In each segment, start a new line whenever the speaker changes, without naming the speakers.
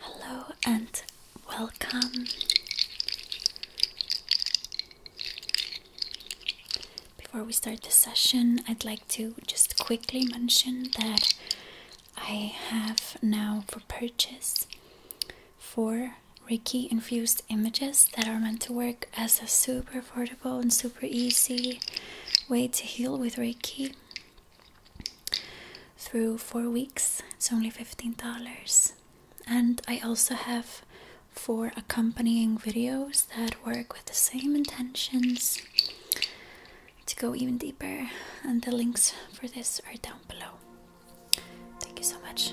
Hello and welcome. Before we start the session, I'd like to just quickly mention that I have now for purchase four Reiki infused images that are meant to work as a super affordable and super easy way to heal with Reiki through four weeks. It's only $15. And I also have four accompanying videos that work with the same intentions to go even deeper. And the links for this are down below. Thank you so much.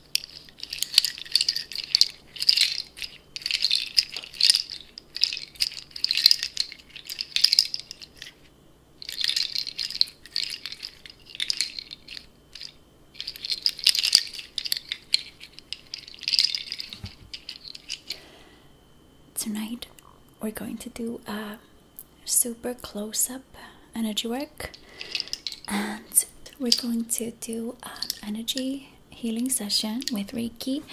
Tonight we're going to do a super close up energy work and we're going to do an energy healing session with Reiki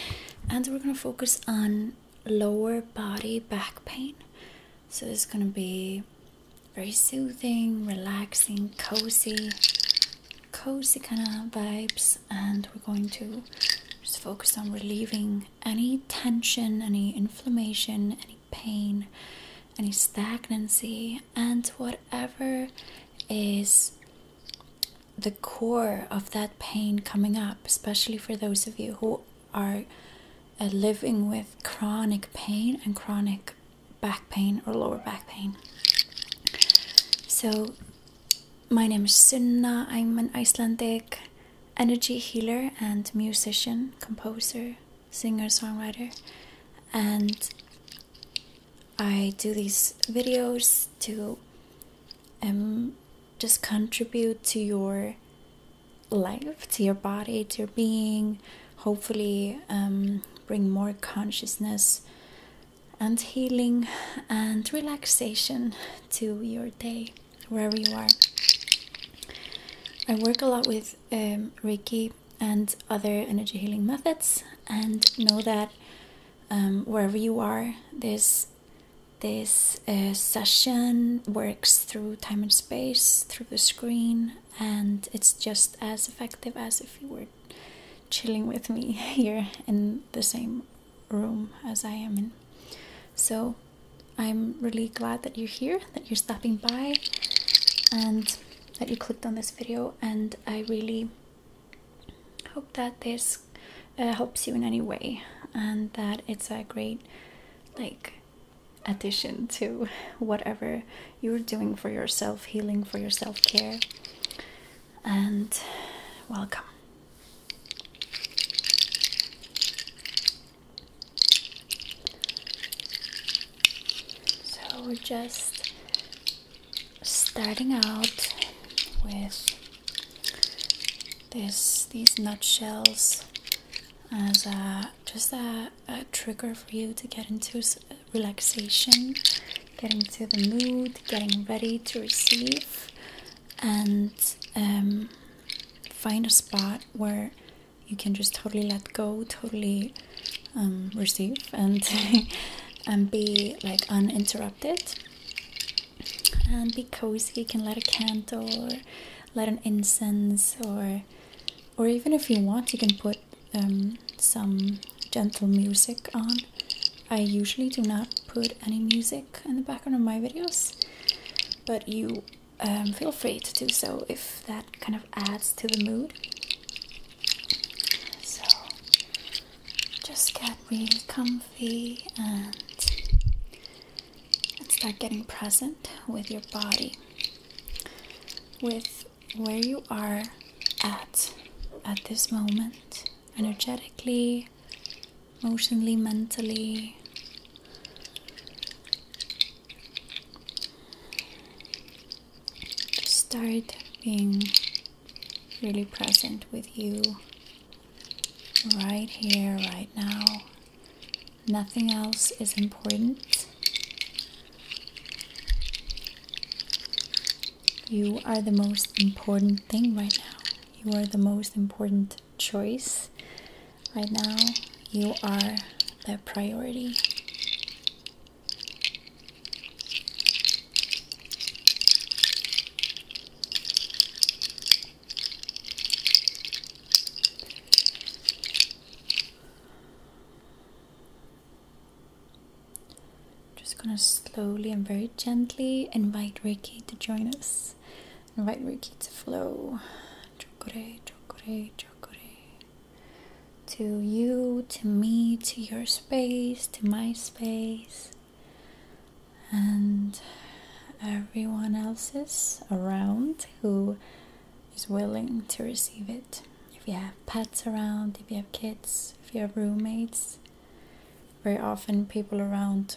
and we're going to focus on lower body back pain. So it's going to be very soothing, relaxing, cozy, cozy kind of vibes and we're going to just focus on relieving any tension, any inflammation, any pain any stagnancy, and whatever is the core of that pain coming up, especially for those of you who are uh, living with chronic pain and chronic back pain or lower back pain. So, my name is Sunna. I'm an Icelandic energy healer and musician, composer, singer songwriter, and I do these videos to um, just contribute to your life, to your body, to your being, hopefully, um, bring more consciousness and healing and relaxation to your day, wherever you are. I work a lot with um, Ricky and other energy healing methods, and know that um, wherever you are, this this uh, session works through time and space, through the screen, and it's just as effective as if you were chilling with me here in the same room as I am in. So I'm really glad that you're here, that you're stopping by, and that you clicked on this video, and I really hope that this uh, helps you in any way and that it's a great like addition to whatever you're doing for yourself, healing for yourself, care. And welcome. So we're just starting out with this these nutshells as a, just a, trigger for you to get into relaxation, get into the mood, getting ready to receive, and um, find a spot where you can just totally let go, totally um, receive, and and be like uninterrupted, and be cozy. You can light a candle, or light an incense, or or even if you want, you can put um, some gentle music on. I usually do not put any music in the background of my videos, but you um, feel free to do so if that kind of adds to the mood. So just get really comfy and start getting present with your body, with where you are at at this moment, energetically, emotionally, mentally. To start being really present with you right here, right now. Nothing else is important. You are the most important thing right now. You are the most important choice right now you are the priority. Just gonna slowly and very gently invite Ricky to join us. Invite Ricky to flow. Chokore, chokore, chokore to you, to me, to your space, to my space, and everyone else's around who is willing to receive it. If you have pets around, if you have kids, if you have roommates, very often people around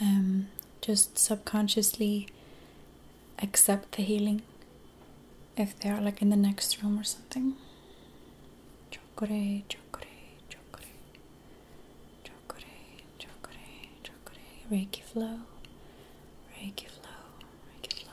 um, just subconsciously accept the healing if they are like in the next room or something. Chokore, chokore, chokore, chokore, chokore, chokore, reiki flow, reiki flow, reiki flow.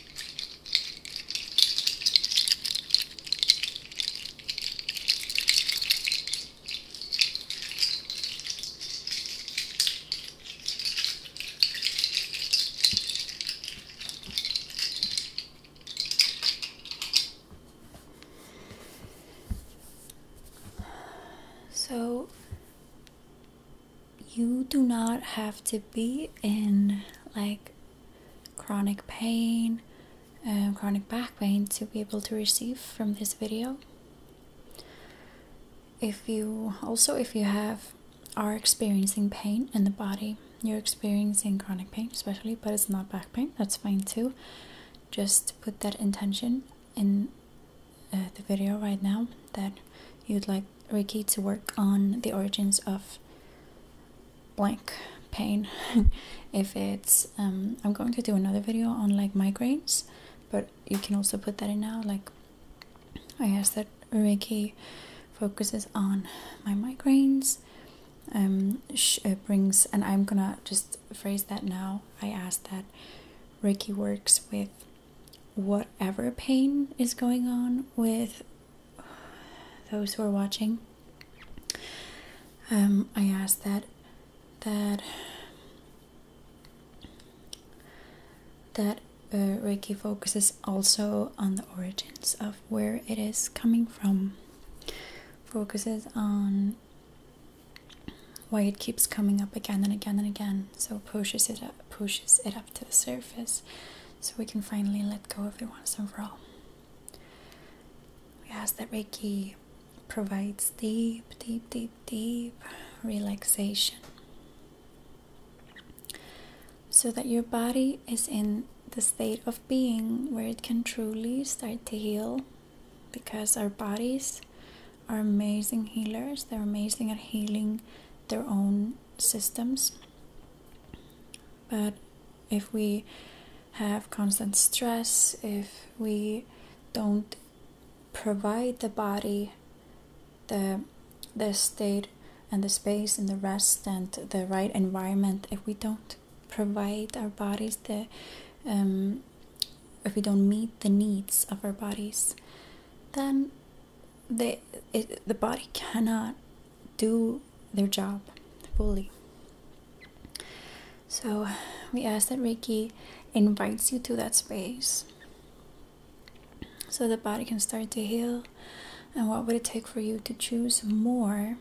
So, you do not have to be in like chronic pain, um, chronic back pain to be able to receive from this video. If you also, if you have are experiencing pain in the body, you're experiencing chronic pain, especially, but it's not back pain, that's fine too. Just put that intention in uh, the video right now that you'd like Reiki to work on the origins of blank pain. if it's, um, I'm going to do another video on like migraines, but you can also put that in now. Like, I ask that Reiki focuses on my migraines. Um, uh, brings, and I'm gonna just phrase that now. I ask that Reiki works with whatever pain is going on with those who are watching, um, I ask that that that uh, Reiki focuses also on the origins of where it is coming from. Focuses on why it keeps coming up again and again and again. So pushes it up, pushes it up, to the surface so we can finally let go of it once and for all. We ask that Reiki provides deep, deep, deep, deep relaxation so that your body is in the state of being where it can truly start to heal because our bodies are amazing healers, they're amazing at healing their own systems. But if we have constant stress, if we don't provide the body the the state and the space and the rest and the right environment, if we don't provide our bodies the um, if we don't meet the needs of our bodies, then the the body cannot do their job fully. So we ask that Reiki invites you to that space so the body can start to heal. And what would it take for you to choose more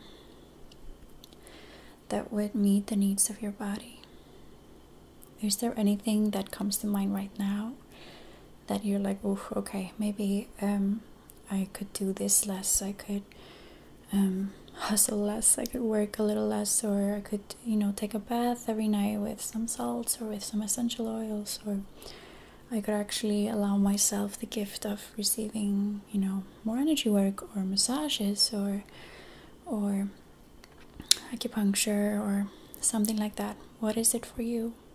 that would meet the needs of your body? Is there anything that comes to mind right now that you're like, oh, okay, maybe um, I could do this less, I could um, hustle less, I could work a little less, or I could, you know, take a bath every night with some salts or with some essential oils, or I could actually allow myself the gift of receiving, you know, more energy work or massages or or acupuncture or something like that. What is it for you?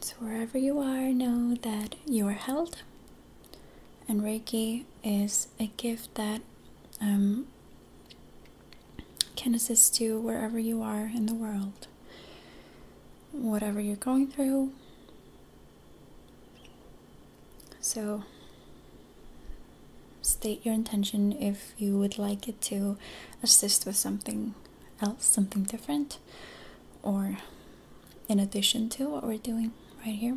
So, wherever you are, know that you are held. And Reiki is a gift that um, can assist you wherever you are in the world, whatever you're going through. So, state your intention if you would like it to assist with something else, something different, or in addition to what we're doing right here.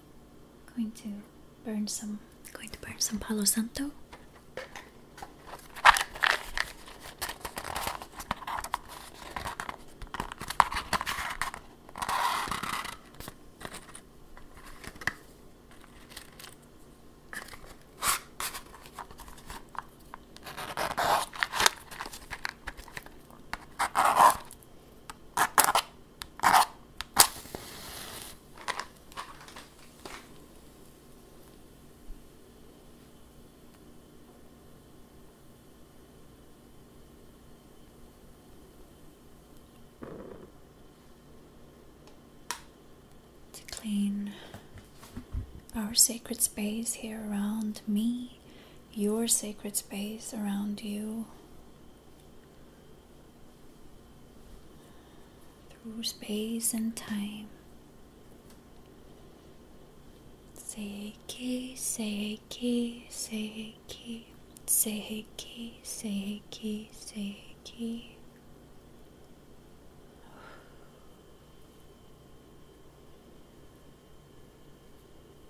Going to burn some going to burn some Palo Santo. To clean our sacred space here around me, your sacred space around you through space and time. Seiki, Seiki, Seiki, Seiki, Seiki, Seiki.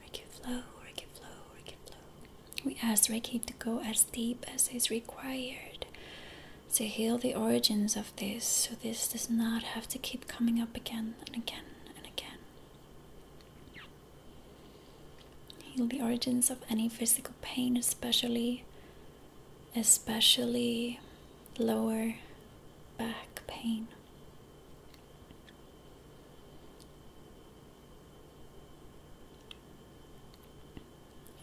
Reiki flow, Reiki flow, Reiki flow. We ask Reiki to go as deep as is required to heal the origins of this so this does not have to keep coming up again and again and again. Heal the origins of any physical pain, especially especially lower back pain.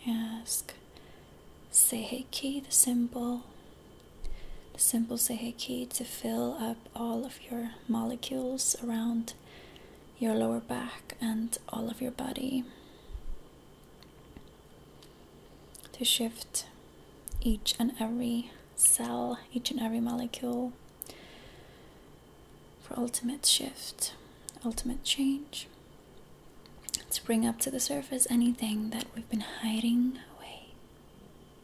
Ask say, Seheiki, the symbol the simple Sehe to fill up all of your molecules around your lower back and all of your body. To shift each and every cell, each and every molecule for ultimate shift, ultimate change. To bring up to the surface anything that we've been hiding away.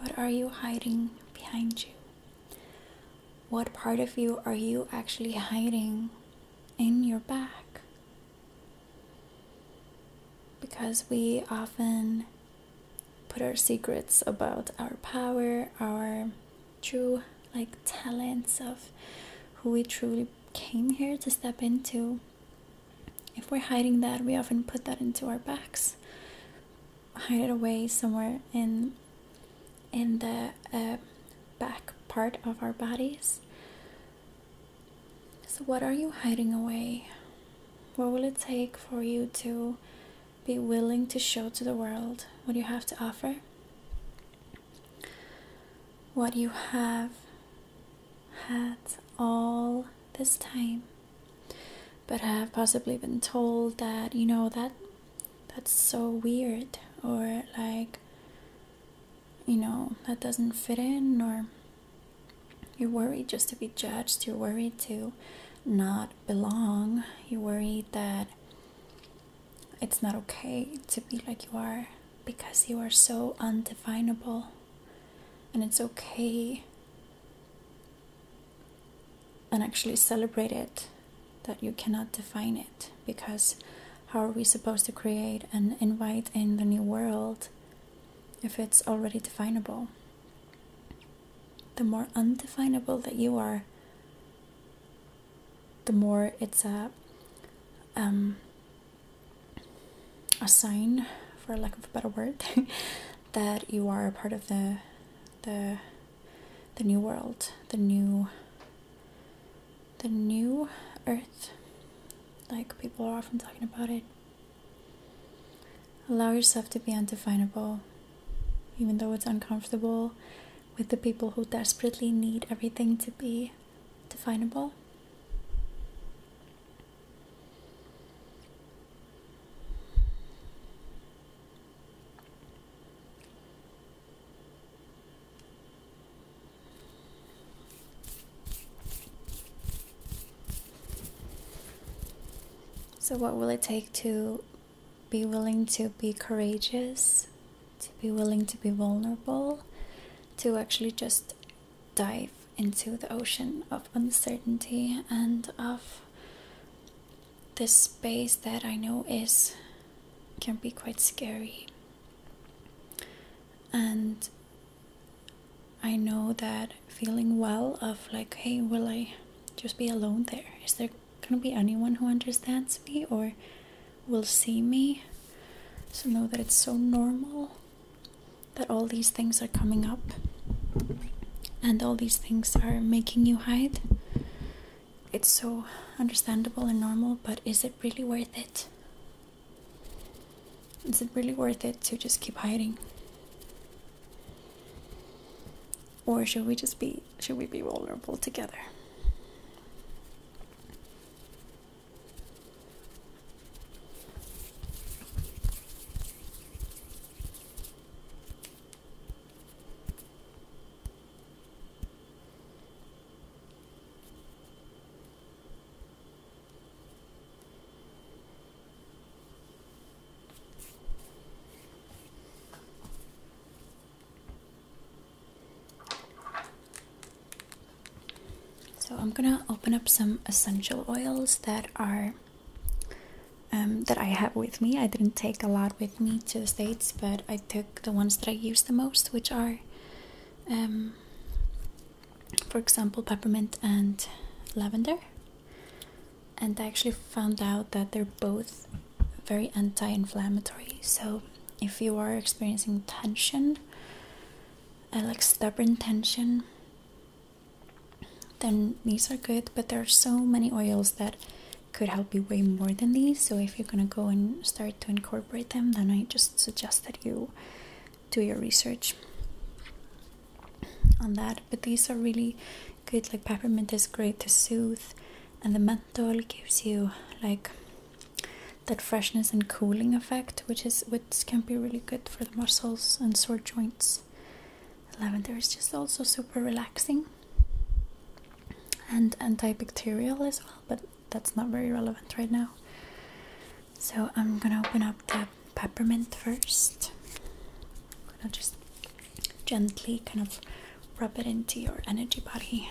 What are you hiding behind you? What part of you are you actually hiding in your back. Because we often put our secrets about our power, our true like talents of who we truly came here to step into. If we're hiding that, we often put that into our backs, hide it away somewhere in in the uh, back part of our bodies. So, what are you hiding away? What will it take for you to be willing to show to the world what you have to offer? What you have had all this time, but have possibly been told that, you know, that that's so weird, or like you know, that doesn't fit in, or you're worried just to be judged, you're worried to not belong, you're worried that it's not okay to be like you are because you are so undefinable and it's okay and actually celebrate it that you cannot define it because how are we supposed to create and invite in the new world if it's already definable? The more undefinable that you are, the more it's a um, a sign, for lack of a better word, that you are a part of the the the new world, the new the new earth, like people are often talking about it. Allow yourself to be undefinable, even though it's uncomfortable with the people who desperately need everything to be definable. So, what will it take to be willing to be courageous, to be willing to be vulnerable, to actually just dive into the ocean of uncertainty and of this space that I know is can be quite scary and I know that feeling well of like, hey, will I just be alone there? Is there gonna be anyone who understands me or will see me? So know that it's so normal that all these things are coming up and all these things are making you hide. It's so understandable and normal, but is it really worth it? Is it really worth it to just keep hiding? Or should we just be should we be vulnerable together? So I'm gonna open up some essential oils that are um, that I have with me. I didn't take a lot with me to the States, but I took the ones that I use the most, which are um, for example, peppermint and lavender. And I actually found out that they're both very anti inflammatory. So, if you are experiencing tension, uh, like stubborn tension, then these are good. But there are so many oils that could help you way more than these. So, if you're gonna go and start to incorporate them, then I just suggest that you do your research on that. But these are really good, like peppermint is great to soothe, and the menthol gives you like that freshness and cooling effect, which is which can be really good for the muscles and sore joints. Lavender is just also super relaxing and antibacterial as well, but that's not very relevant right now. So I'm gonna open up the peppermint first. I'm gonna just gently kind of rub it into your energy body.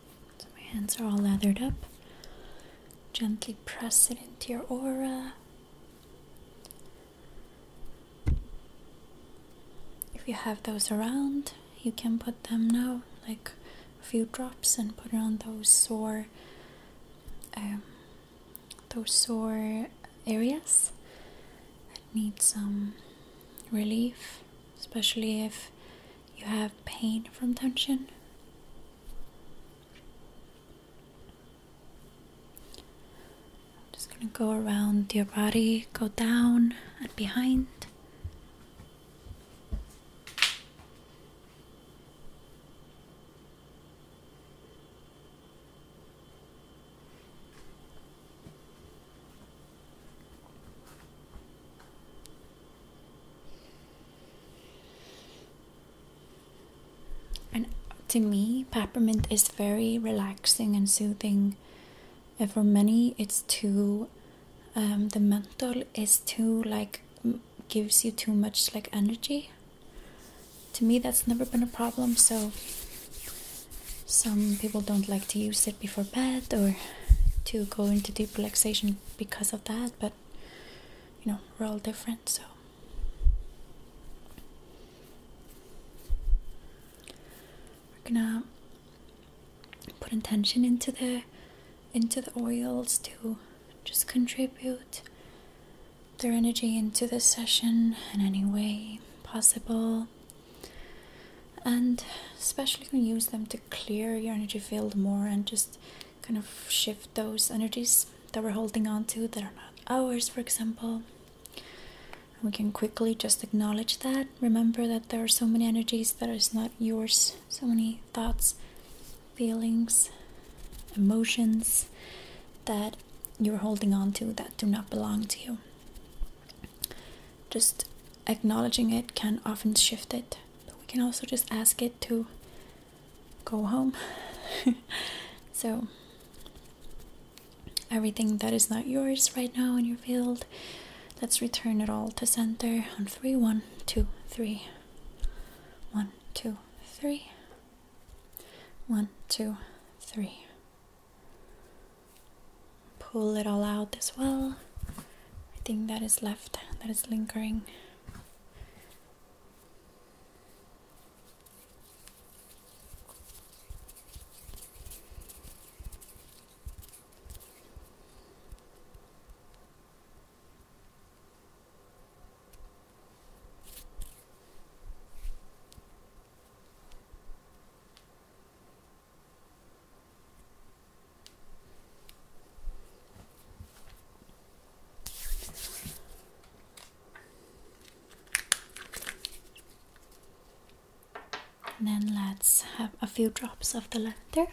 So my hands are all lathered up. Gently press it into your aura. If you have those around, you can put them now, like a few drops, and put it on those sore, um, those sore areas that need some relief, especially if you have pain from tension. I'm just going to go around your body, go down and behind. And to me, peppermint is very relaxing and soothing. And for many, it's too. Um, the menthol is too like gives you too much like energy. To me, that's never been a problem. So some people don't like to use it before bed or to go into deep relaxation because of that but you know, we're all different, so. We're gonna put intention into the into the oils to just contribute their energy into this session in any way possible. And especially you can use them to clear your energy field more and just kind of shift those energies that we're holding on to that are not ours, for example. We can quickly just acknowledge that. Remember that there are so many energies that is not yours, so many thoughts, feelings, emotions that you're holding on to that do not belong to you. Just acknowledging it can often shift it but we can also just ask it to go home. so, everything that is not yours right now in your field, let's return it all to center on three, one, two, three, one, two, three, one, two, three. Pull it all out as well everything that is left that is lingering. And then let's have a few drops of the lavender.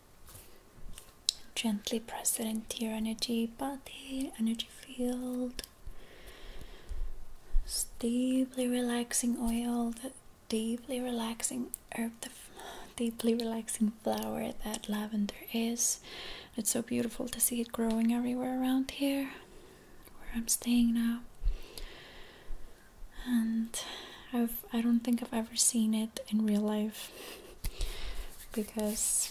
Gently press it into your energy body, energy field. This deeply relaxing oil, that deeply relaxing herb, the deeply relaxing flower that lavender is. It's so beautiful to see it growing everywhere around here, where I'm staying now. And I've I don't think I've ever seen it in real life because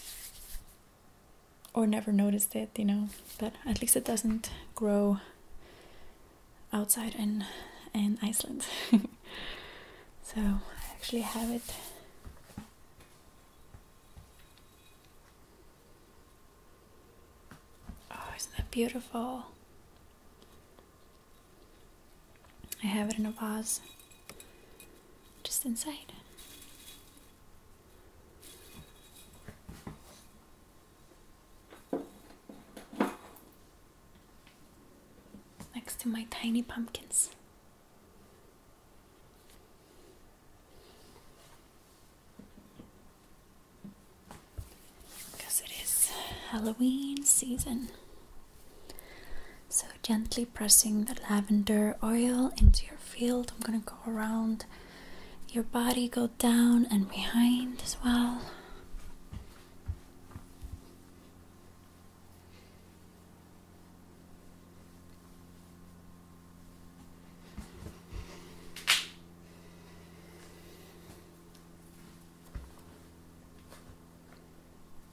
or never noticed it, you know. But at least it doesn't grow outside in in Iceland. so I actually have it. Oh, isn't that beautiful? I have it in a vase just inside. Next to my tiny pumpkins. Because it is Halloween season. So, gently pressing the lavender oil into your field, I'm gonna go around your body, go down and behind as well.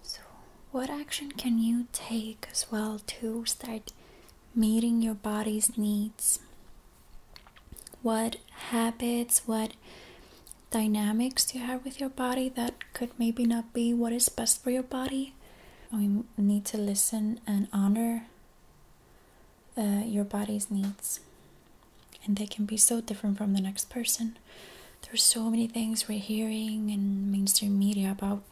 So, what action can you take as well to start meeting your body's needs. What habits, what dynamics you have with your body that could maybe not be what is best for your body. We need to listen and honor uh, your body's needs. And they can be so different from the next person. There's so many things we're hearing in mainstream media about,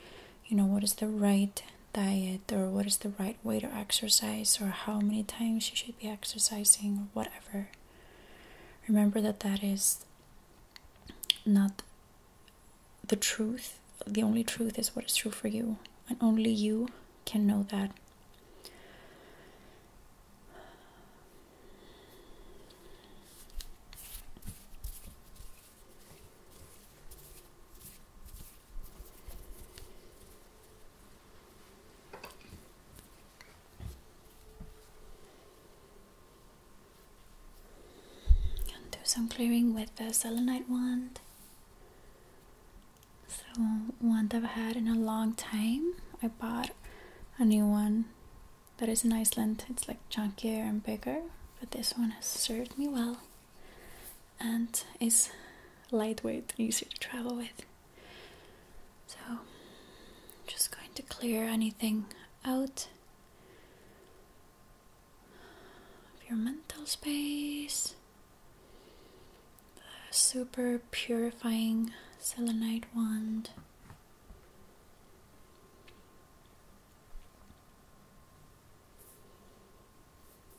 you know, what is the right diet or what is the right way to exercise or how many times you should be exercising or whatever. Remember that that is not the truth. The only truth is what is true for you, and only you can know that. And do some clearing with the selenite wand. So one that I've had in a long time. I bought a new one that is in Iceland. It's like chunkier and bigger, but this one has served me well and is lightweight, easy to travel with. So, I'm just going to clear anything out of your mental space. super purifying selenite wand.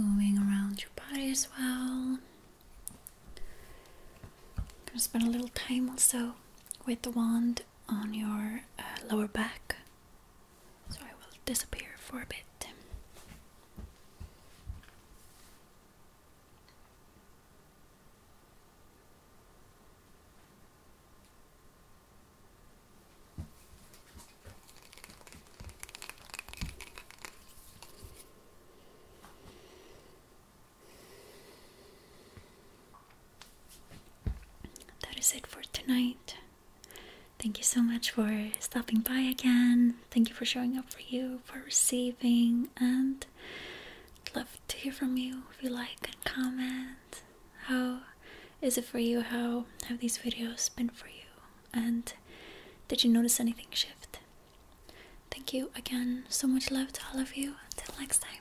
moving around your body as well. I'm going to spend a little time also with the wand on your uh, lower back. So I will disappear for a bit. That is it for tonight. Thank you so much for stopping by again. Thank you for showing up for you, for receiving, and love to hear from you if you like and comment. How is it for you? How have these videos been for you? And did you notice anything shift? Thank you again. So much love to all of you. Until next time.